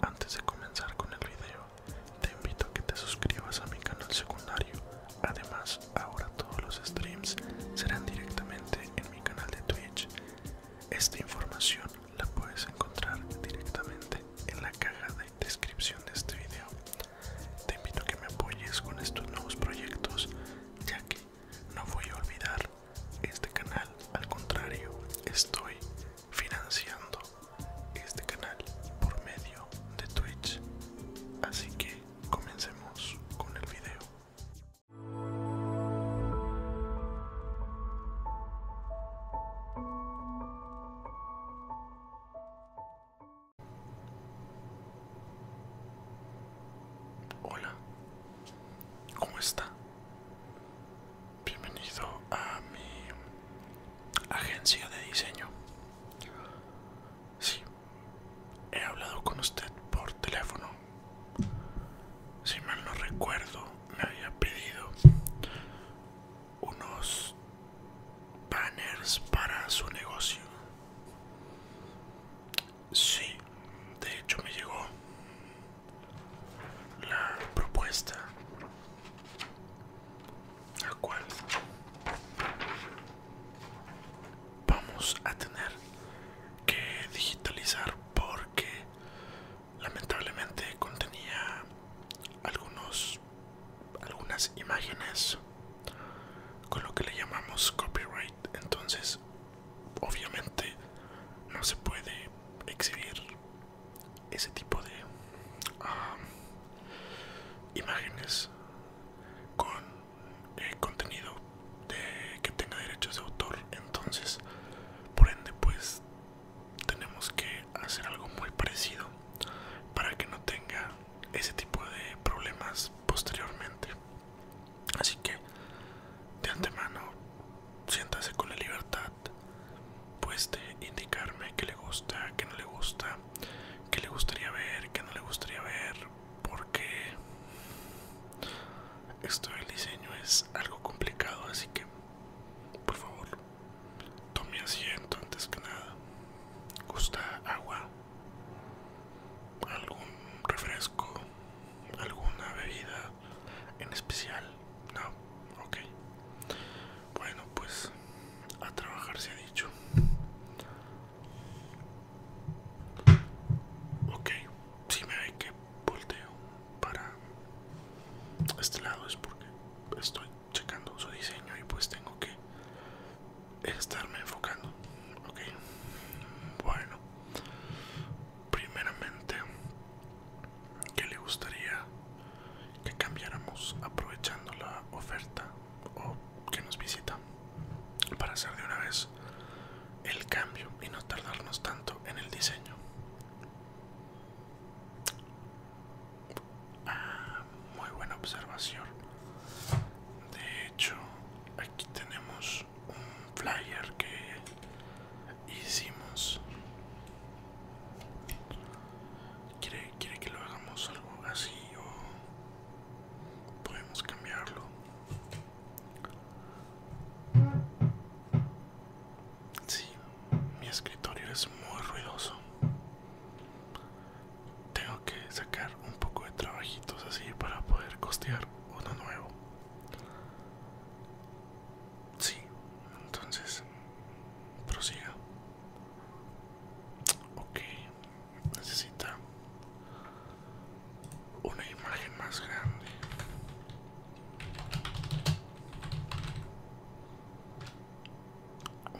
Antes de comenzar con el video, te invito a que te suscribas a mi canal secundario. Además, ahora todos los streams serán directamente en mi canal de Twitch. Esta información la puedes encontrar directamente en la caja de descripción de este video. Te invito a que me apoyes con estos nuevos proyectos, ya que no voy a olvidar este canal, al contrario, estoy financiando este canal por medio de Twitch. Así que comencemos con el video. Hola, ¿cómo está? bienvenido a mi agencia de diseño. Sí, he hablado con usted por teléfono. Si mal no recuerdo, me había pedido unos banners para su negocio. Sí, de hecho me llegó la propuesta la cual vamos a tener que digitalizar porque lamentablemente contenía algunos algunas imágenes con lo que le llamamos copyright entonces obviamente no se puede exhibir ese tipo de ah, imágenes con eh, contenido que tenga derechos de autor entonces por ende pues tenemos que hacer algo muy parecido para que no tenga ese tipo de problemas posteriormente así que de antemano siéntase con la libertad pues de indicarme que le gusta, que no le gusta, que le gustaría ver, que no le gustaría ver, porque esto del diseño es algo complicado, así que por favor tome asiento antes que nada. ¿Gusta agua? ¿Algún refresco? ¿Alguna bebida? en especial no ok bueno pues a trabajar se ha dicho ok si me hay que volteo para este lado es porque estoy checando su diseño y pues tengo que estarme enfocando ok bueno primeramente que le gustaría que cambiáramos aprovechando la oferta o que nos visita para hacer de una vez el cambio y no tardarnos tanto en el diseño ah, muy buena observación de hecho aquí tenemos un flyer que hicimos. ¿Quiere, que lo hagamos algo así o podemos cambiarlo? Sí, mi escritorio es muy ruidoso. Tengo que sacar un poco de trabajitos así para poder costear uno nuevo. Sí, entonces prosiga. Ok, necesita una imagen más grande.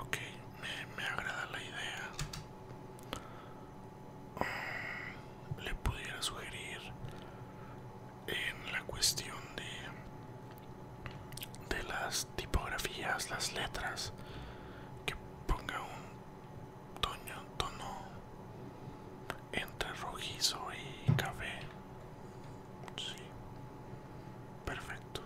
Ok, me, me agrada la idea le pudiera sugerir en la cuestión de, de las tipografías, las letras, que ponga un tono, entre rojizo y café. Sí, perfecto.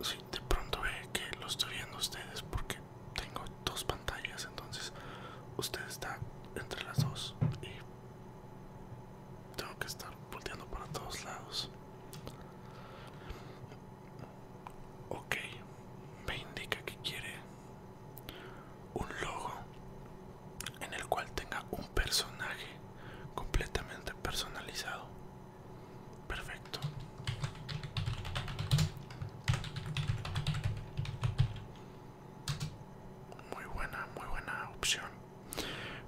Si de pronto ve que lo estoy viendo ustedes porque tengo dos pantallas, entonces usted está entre las dos y tengo que estar volteando para todos lados. Ok, me indica que quiere un logo en el cual tenga un personaje completamente personalizado. Perfecto. Muy buena, muy buena opción.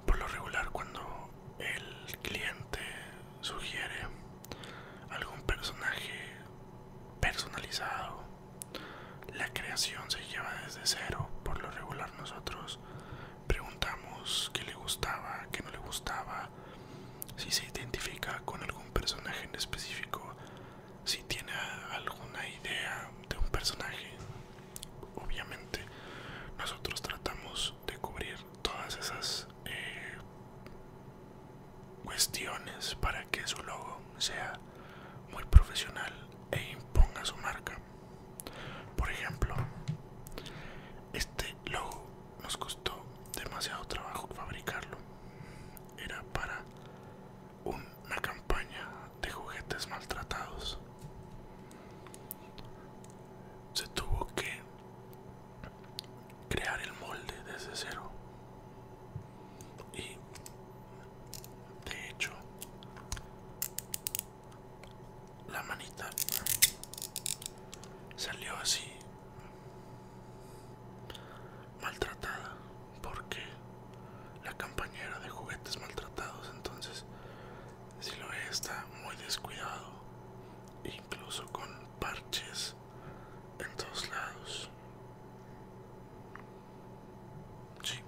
Por lo regular cuando el cliente sugiere algún personaje personalizado, la creación se lleva desde cero. Por lo regular nosotros Preguntamos qué le gustaba, qué no le gustaba, si se identifica con algún personaje en específico, si tiene alguna idea de un personaje. Obviamente, nosotros tratamos de cubrir todas esas eh, cuestiones para que su logo sea muy profesional e imponga su marca. Por ejemplo, este logo nos costó demasiado trabajo fabricarlo. Era para una campaña de juguetes maltratados. Se tuvo que crear el molde desde cero. Y de hecho, la manita salió así maltratada porque la campaña era de juguetes maltratados entonces si lo ve está muy descuidado incluso con parches en todos lados sí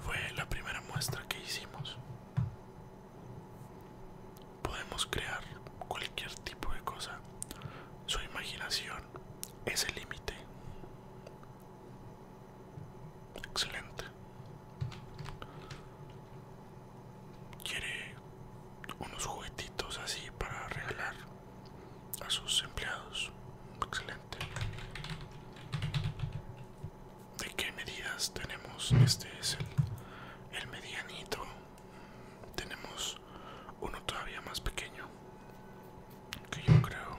fue la primera muestra que hicimos. Podemos crear cualquier tipo de cosa. Su imaginación es el límite. Excelente. ¿Quiere unos juguetitos así para regalar? a sus empleados. Excelente. ¿De qué medidas tenemos? Este es el, el medianito. Tenemos uno todavía más pequeño. Que yo creo.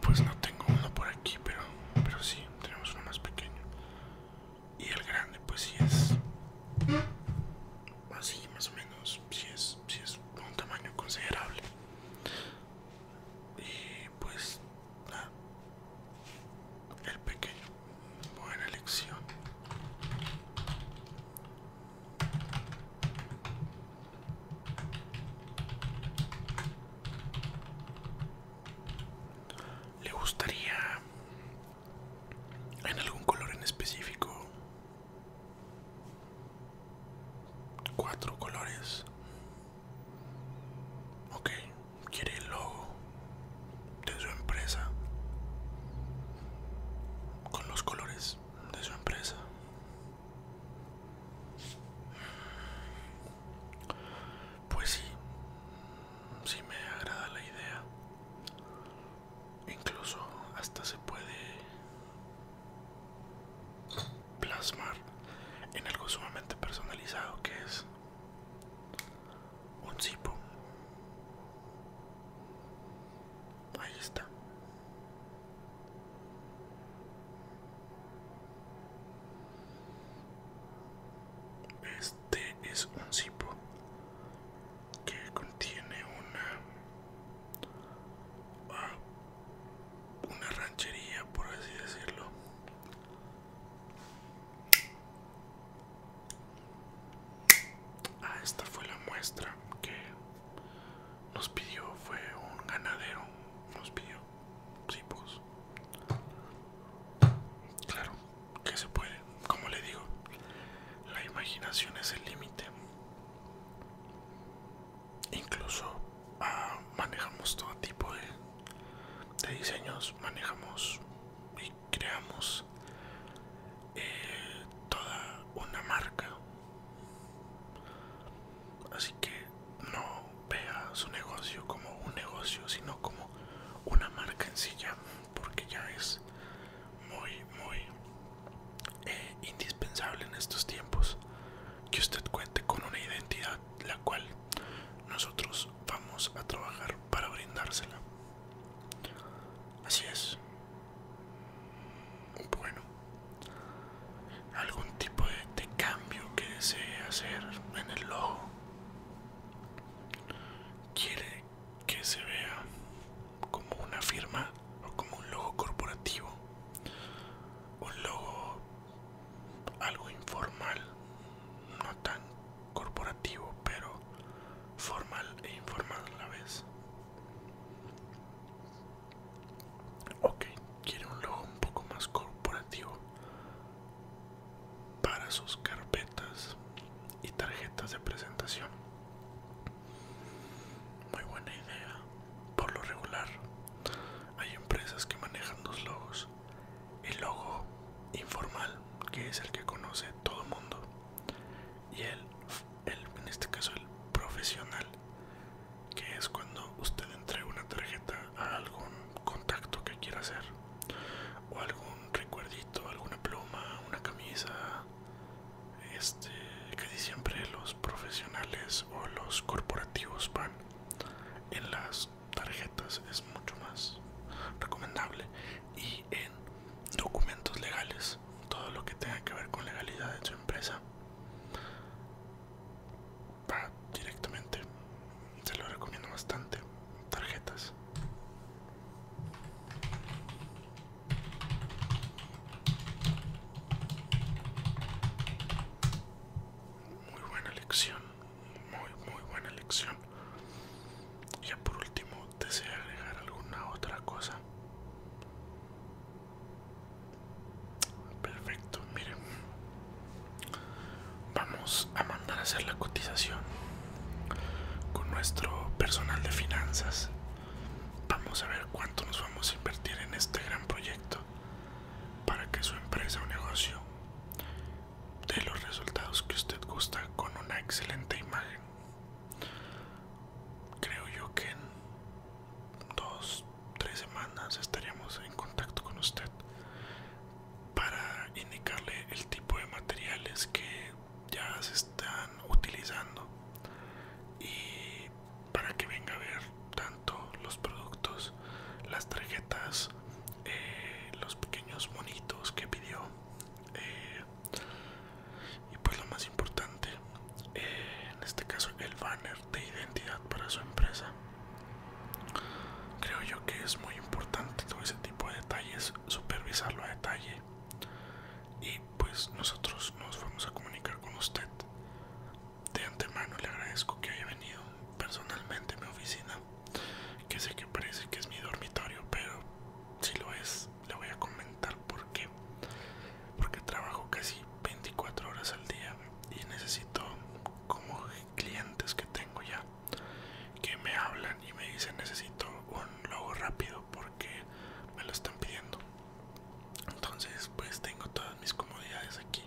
Pues no tengo uno por aquí, pero, pero sí, tenemos uno más pequeño. Y el grande, pues sí es así, más o menos si es, es un tamaño considerable. Y pues, el pequeño, buena elección. ¿Le gustaría en algún color en específico? Cuatro colores. Ok, quiere el logo de su empresa. Con los colores de su empresa. Pues sí, si me agrada la idea. Incluso hasta se puede plasmar en algo sumamente personalizado que es un zipo. Ahí está. Este es un zipo que contiene una a una ranchería, por así decirlo. Ah, esta fue la muestra que nos pidió, fue un ganadero, nos pidió, sí, pues. Claro, que se puede, como le digo, la imaginación es el límite. Incluso ah, manejamos todo tipo de, diseños, manejamos y creamos eh, toda una marca. Así que no vea su negocio como un negocio, sino como una marca en sí ya, porque ya es muy, muy eh, indispensable en estos tiempos que usted cuente con una identidad la cual nosotros vamos a trabajar para brindársela. Así es. Bueno, algún tipo de, de cambio que desee hacer en el logo. Quiere que se vea como una firma o como un logo corporativo, un logo algo informal, no tan corporativo, pero formal e informal a la vez. Ok, quiere un logo un poco más corporativo para sus carpetas y tarjetas de presentación. Muy buena idea. Por lo regular, hay empresas que manejan dos logos. El logo informal, que es el que conoce todo el mundo, y el, el, en este caso el profesional, que es cuando usted entrega una tarjeta a algún contacto que quiera hacer, o algún recuerdito, alguna pluma, una camisa, este, casi siempre los profesionales o los corporativos van en las tarjetas es mucho más recomendable y en documentos legales todo lo que tenga que ver con legalidad de su empresa va directamente se lo recomiendo bastante tarjetas muy buena elección, muy muy buena elección. Ya por último, ¿desea agregar alguna otra cosa? Perfecto, miren. Vamos a mandar a hacer la cotización con nuestro personal de finanzas Vamos a ver cuánto nos vamos a invertir en este gran proyecto para que su empresa o negocio dé los resultados que usted gusta con una excelente imagen. Creo yo que en dos, tres semanas estaríamos en contacto con usted para indicarle el tipo de materiales que ya se están utilizando y para que venga a ver tanto los productos las tarjetas eh, los pequeños monitos que pidió eh, y pues lo más importante eh, en este caso el banner de identidad para su empresa creo yo que es muy importante todo ese tipo de detalles supervisarlo a detalle y pues nosotros nos vamos a comunicar con usted. De antemano le agradezco que haya venido personalmente a mi oficina, que sé que parece que es mi dormitorio, pero si lo es, le voy a comentar por qué. Porque trabajo casi 24 horas al día y necesito como clientes que tengo ya que me hablan y me dice necesito un logo rápido porque me lo están pidiendo. Entonces pues tengo todas mis comodidades aquí.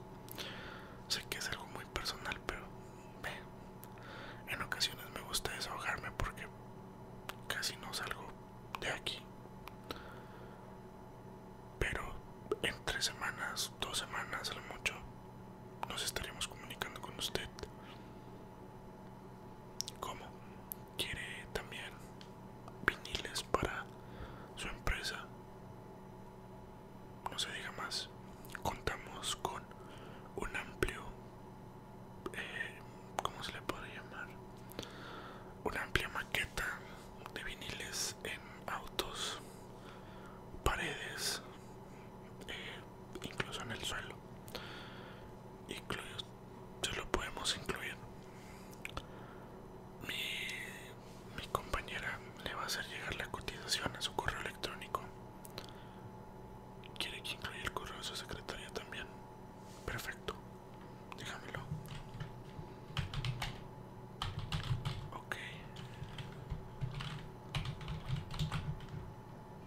Sé que es algo muy personal, pero en ocasiones me gusta desahogarme porque casi no salgo de aquí. Pero en tres semanas, dos semanas a lo mucho, nos estaremos comunicando con usted como ¿Quiere también viniles para su empresa? No se diga más. Contamos con un amplio... Eh, ¿Cómo se le puede llamar? Una amplia maqueta de viniles en autos, paredes, eh, incluso en el suelo. se lo podemos incluir. Mi, mi compañera le va a hacer llegar la cotización a su correo electrónico. ¿Quiere que incluya el correo de su secretaria también? Perfecto, déjamelo. Ok.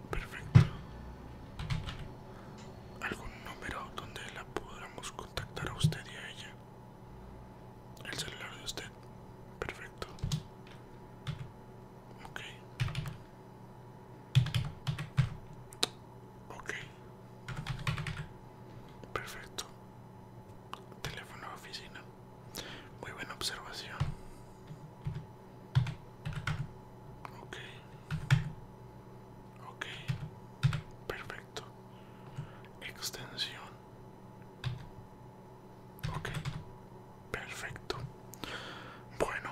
Perfecto. ¿Algún número donde la podamos contactar a usted y a ella? El celular de usted. Perfecto. Ok. Ok. Perfecto. Teléfono de oficina. Muy buena observación. Ok. Ok. Perfecto. Extensión. Ok. Perfecto. Bueno,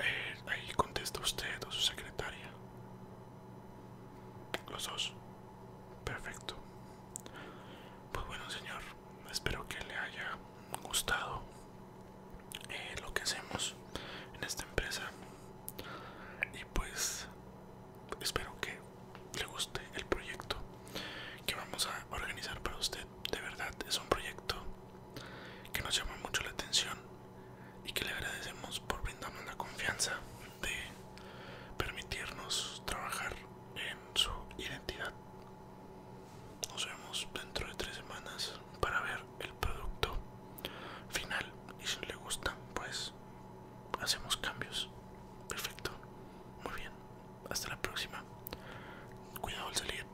eh, ahí contesta usted o su secretaria. Los dos. Perfecto. Pues bueno, señor espero que le haya gustado eh, lo que hacemos en esta empresa y pues espero que le guste el proyecto que vamos a organizar para usted de verdad es un proyecto que nos llama mucho la atención y que le agradecemos por brindarnos la confianza de permitirnos trabajar en su identidad nos vemos dentro de tres semanas para ver el producto final. Y si le gusta, pues hacemos cambios. Perfecto. Muy bien. Hasta la próxima. Cuidado al salir.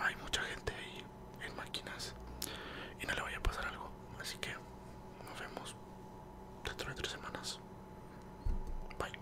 Hay mucha gente ahí en máquinas. Y no le vaya a pasar algo. Así que nos vemos dentro de tres semanas. Bye.